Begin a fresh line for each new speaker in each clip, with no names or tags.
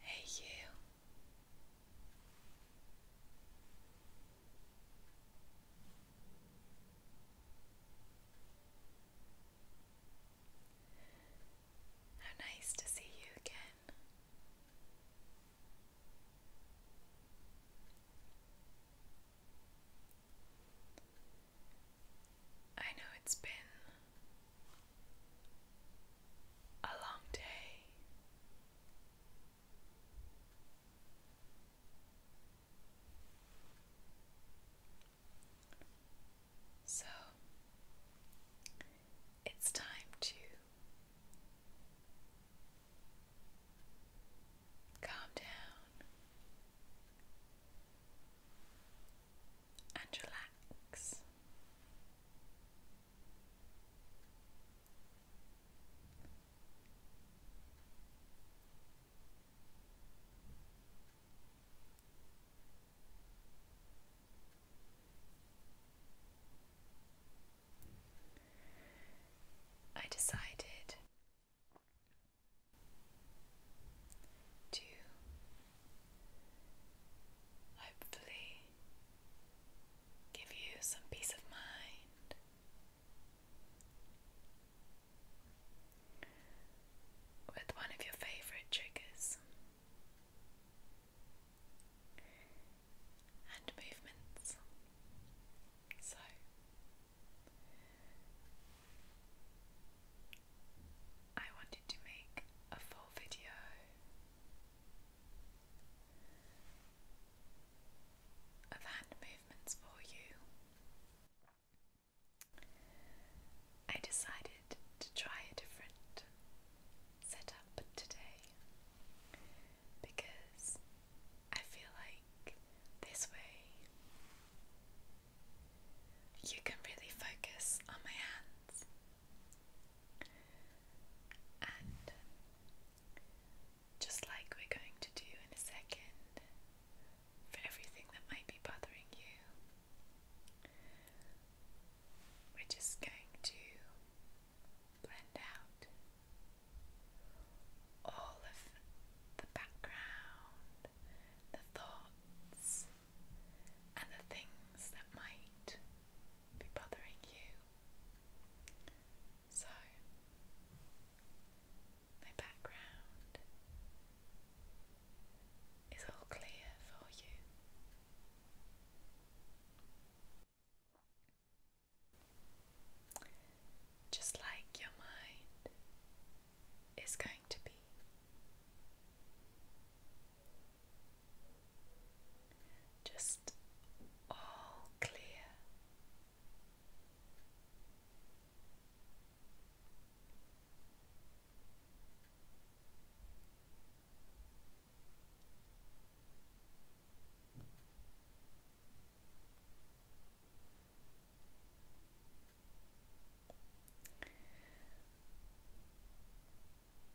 Hey, you. How nice to see you again. I know it's been a long day. So it's time to Calm down and relax. I decided to hopefully give you some peace of mind. With one of your favourite triggers and movements. So, I wanted to make a full video of hand movements for you. I decided to try a different Set up today because I feel like this way you can really focus on my hands and just like we're going to do in a second for everything that might be bothering you. We're just going to blend out all of the background, the thoughts, and the things that might be bothering you. So, my background is all clear for you. Just like your mind is going to be. Just all clear.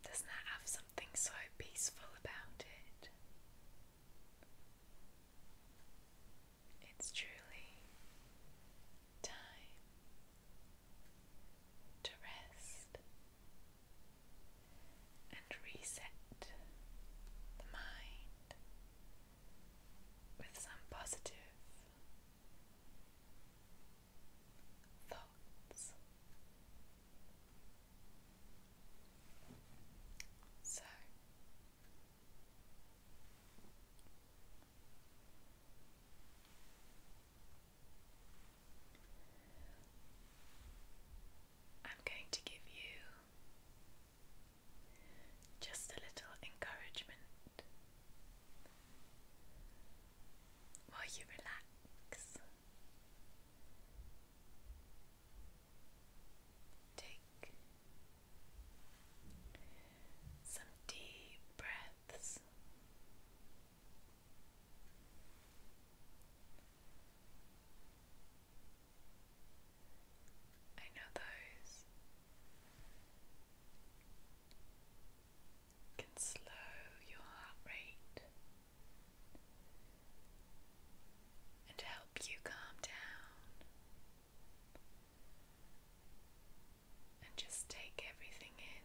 Doesn't that have something so peaceful about it? It's truly time to rest and reset the mind with some positive thoughts. So I'm going to give you just a little encouragement while you relax. Take some deep breaths. I know those can slow your heart rate and help you calm down and just take everything in.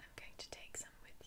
I'm going to take some with you.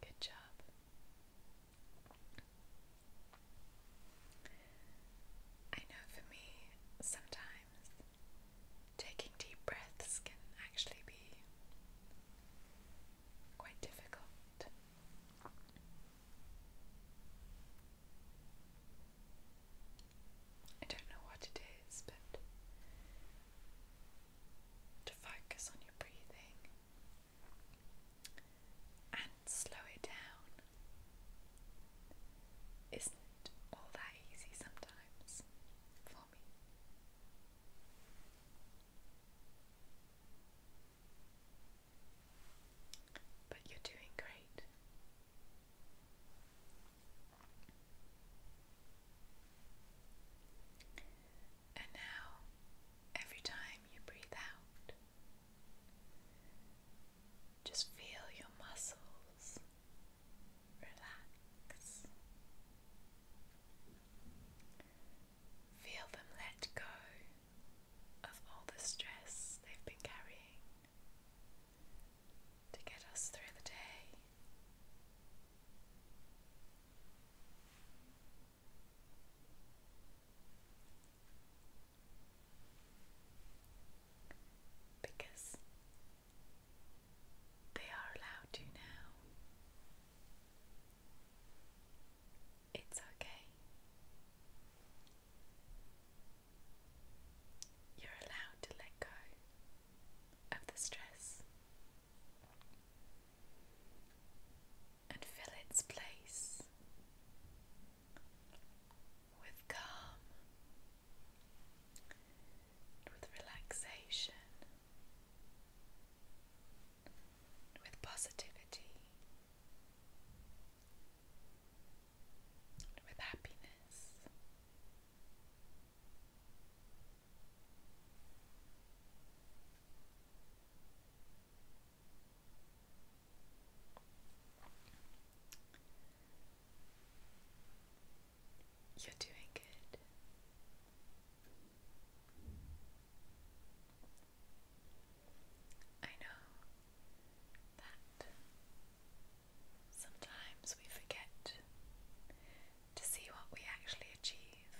Good job. I know for me, sometimes taking deep breaths can actually be quite difficult. I don't know what it is, but to focus on your breathing and slow it down isn't all that easy sometimes for me. But you're doing great. And now, every time you breathe out, just feel your muscles relax. Feel them let go of all the stress they've been carrying to get us through the day. Because they are allowed to now. It's okay. You're allowed to let go of the stress and fill its place with calm, with relaxation, with positivity with happiness. You're doing good. I know that sometimes we forget to see what we actually achieve.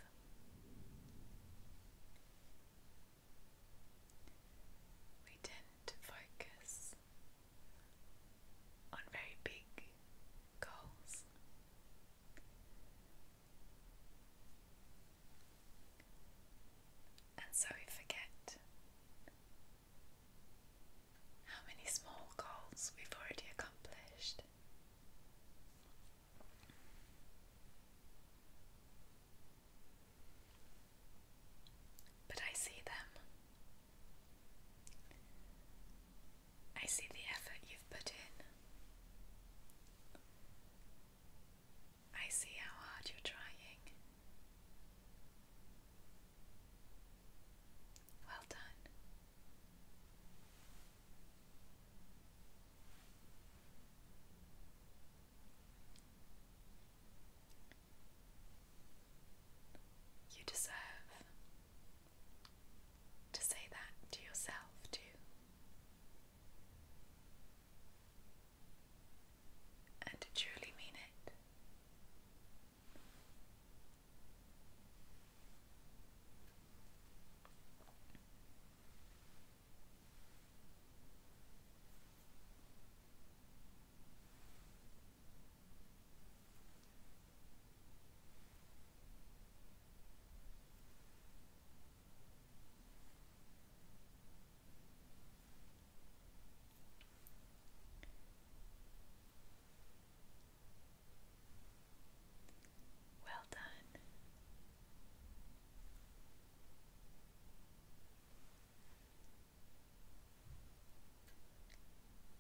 We tend to focus on very big goals and so we forget how many small goals we've already accomplished. But I see them. I see the effort you've put in. I see how hard you're trying. Well done. You deserve to say that to yourself, too and to truly mean it. Well done.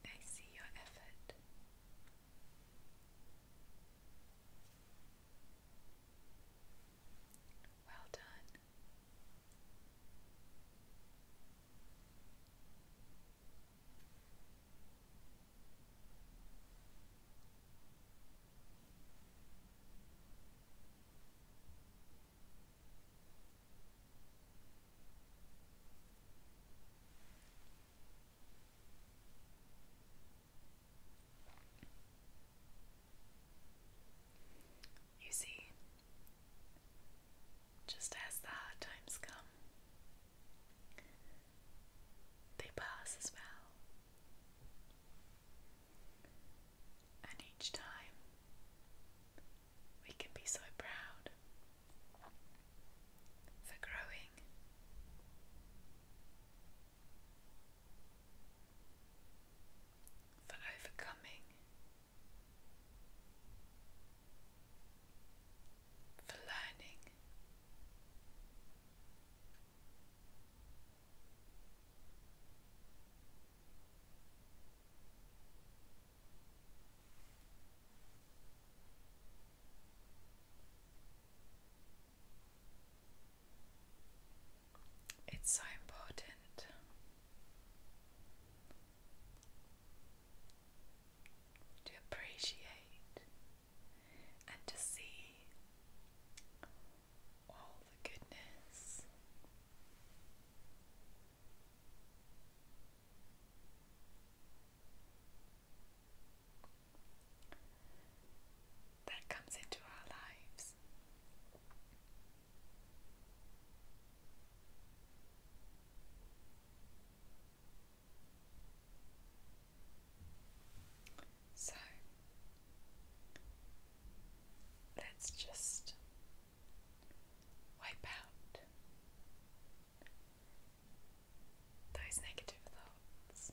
I see your effort. Well done. You see, just as the hard times come, they pass as well. And each time we can be so proud for growing for overcoming, for learning. It's so important. To appreciate and to see all the goodness that comes into our lives. So let's just wipe out those negative thoughts.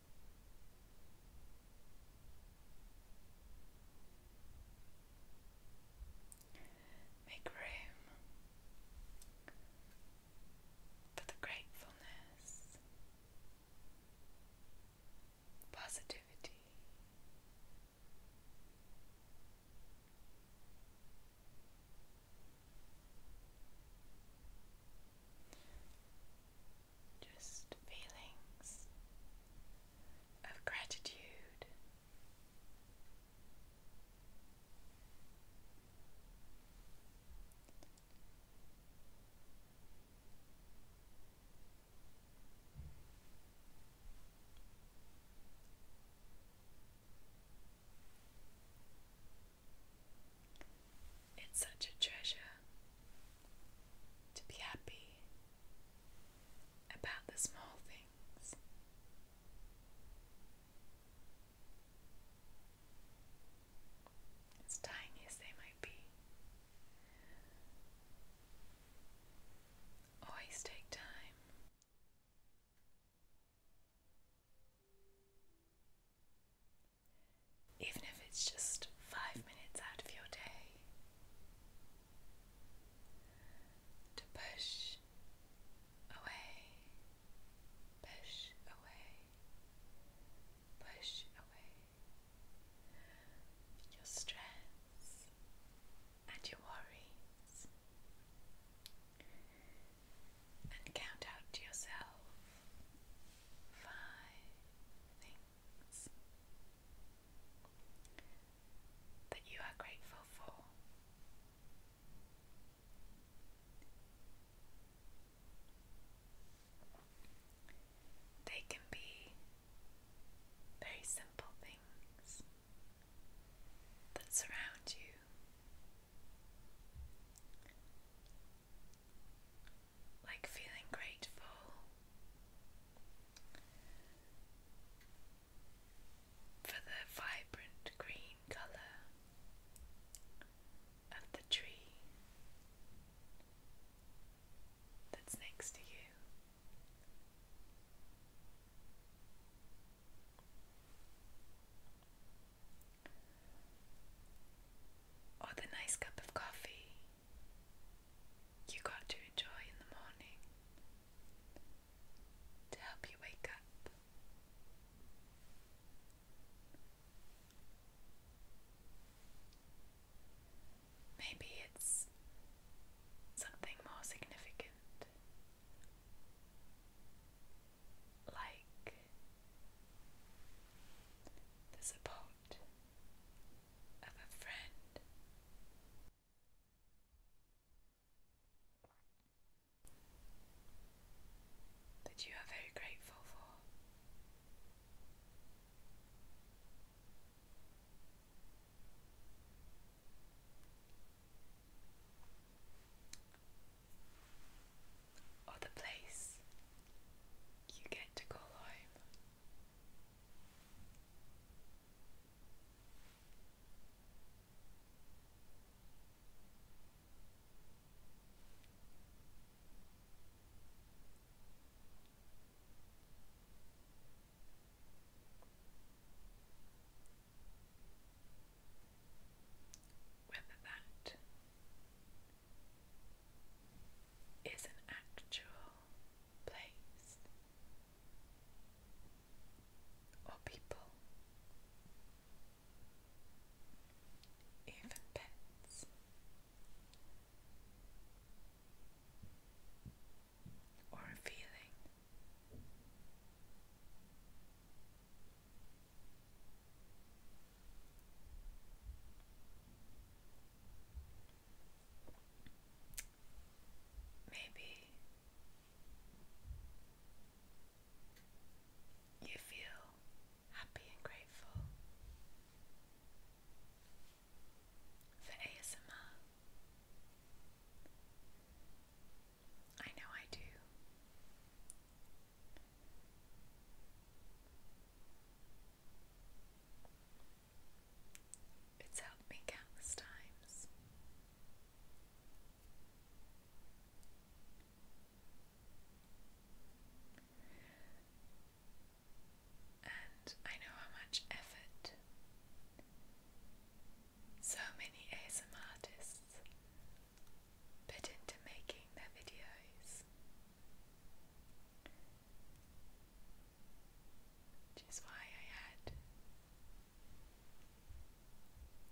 Make room for the gratefulness, positivity just feelings of gratitude. It's such a treasure to be happy about the small things. As tiny as they might be. Always take time even if it's just five minutes out of your day, to push away, push away, push away your stress and your worries and count out to yourself five things that you are grateful for. They can be very simple things that surround you like feeling grateful for the vibrant green colour of the tree that's next to you or the nice cup of coffee you got to enjoy in the morning to help you wake up. Maybe it's something more significant like the support of a friend. That you are very grateful for or the place you get to call home whether that is an actual place or people, even pets. Or a feeling. Maybe you feel happy and grateful for ASMR. I know I do. It's helped me countless times. And I know how much effort so many ASM artists put into making their videos. Which is why I had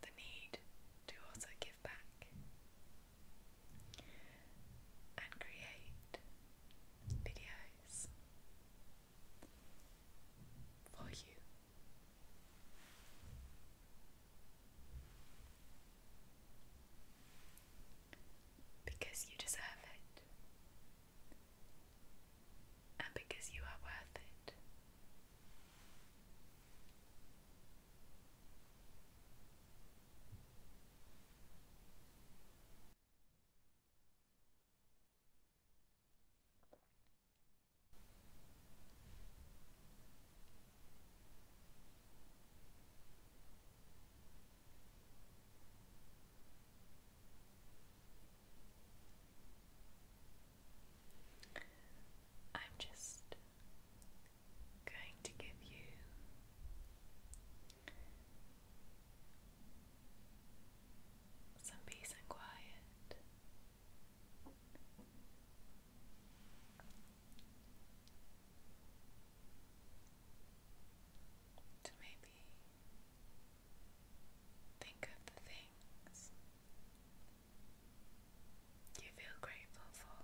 the need to also give back and create videos for you. Because you deserve it. And because you are worth it. I'm just going to give you some peace and quiet to maybe think of the things you feel grateful for.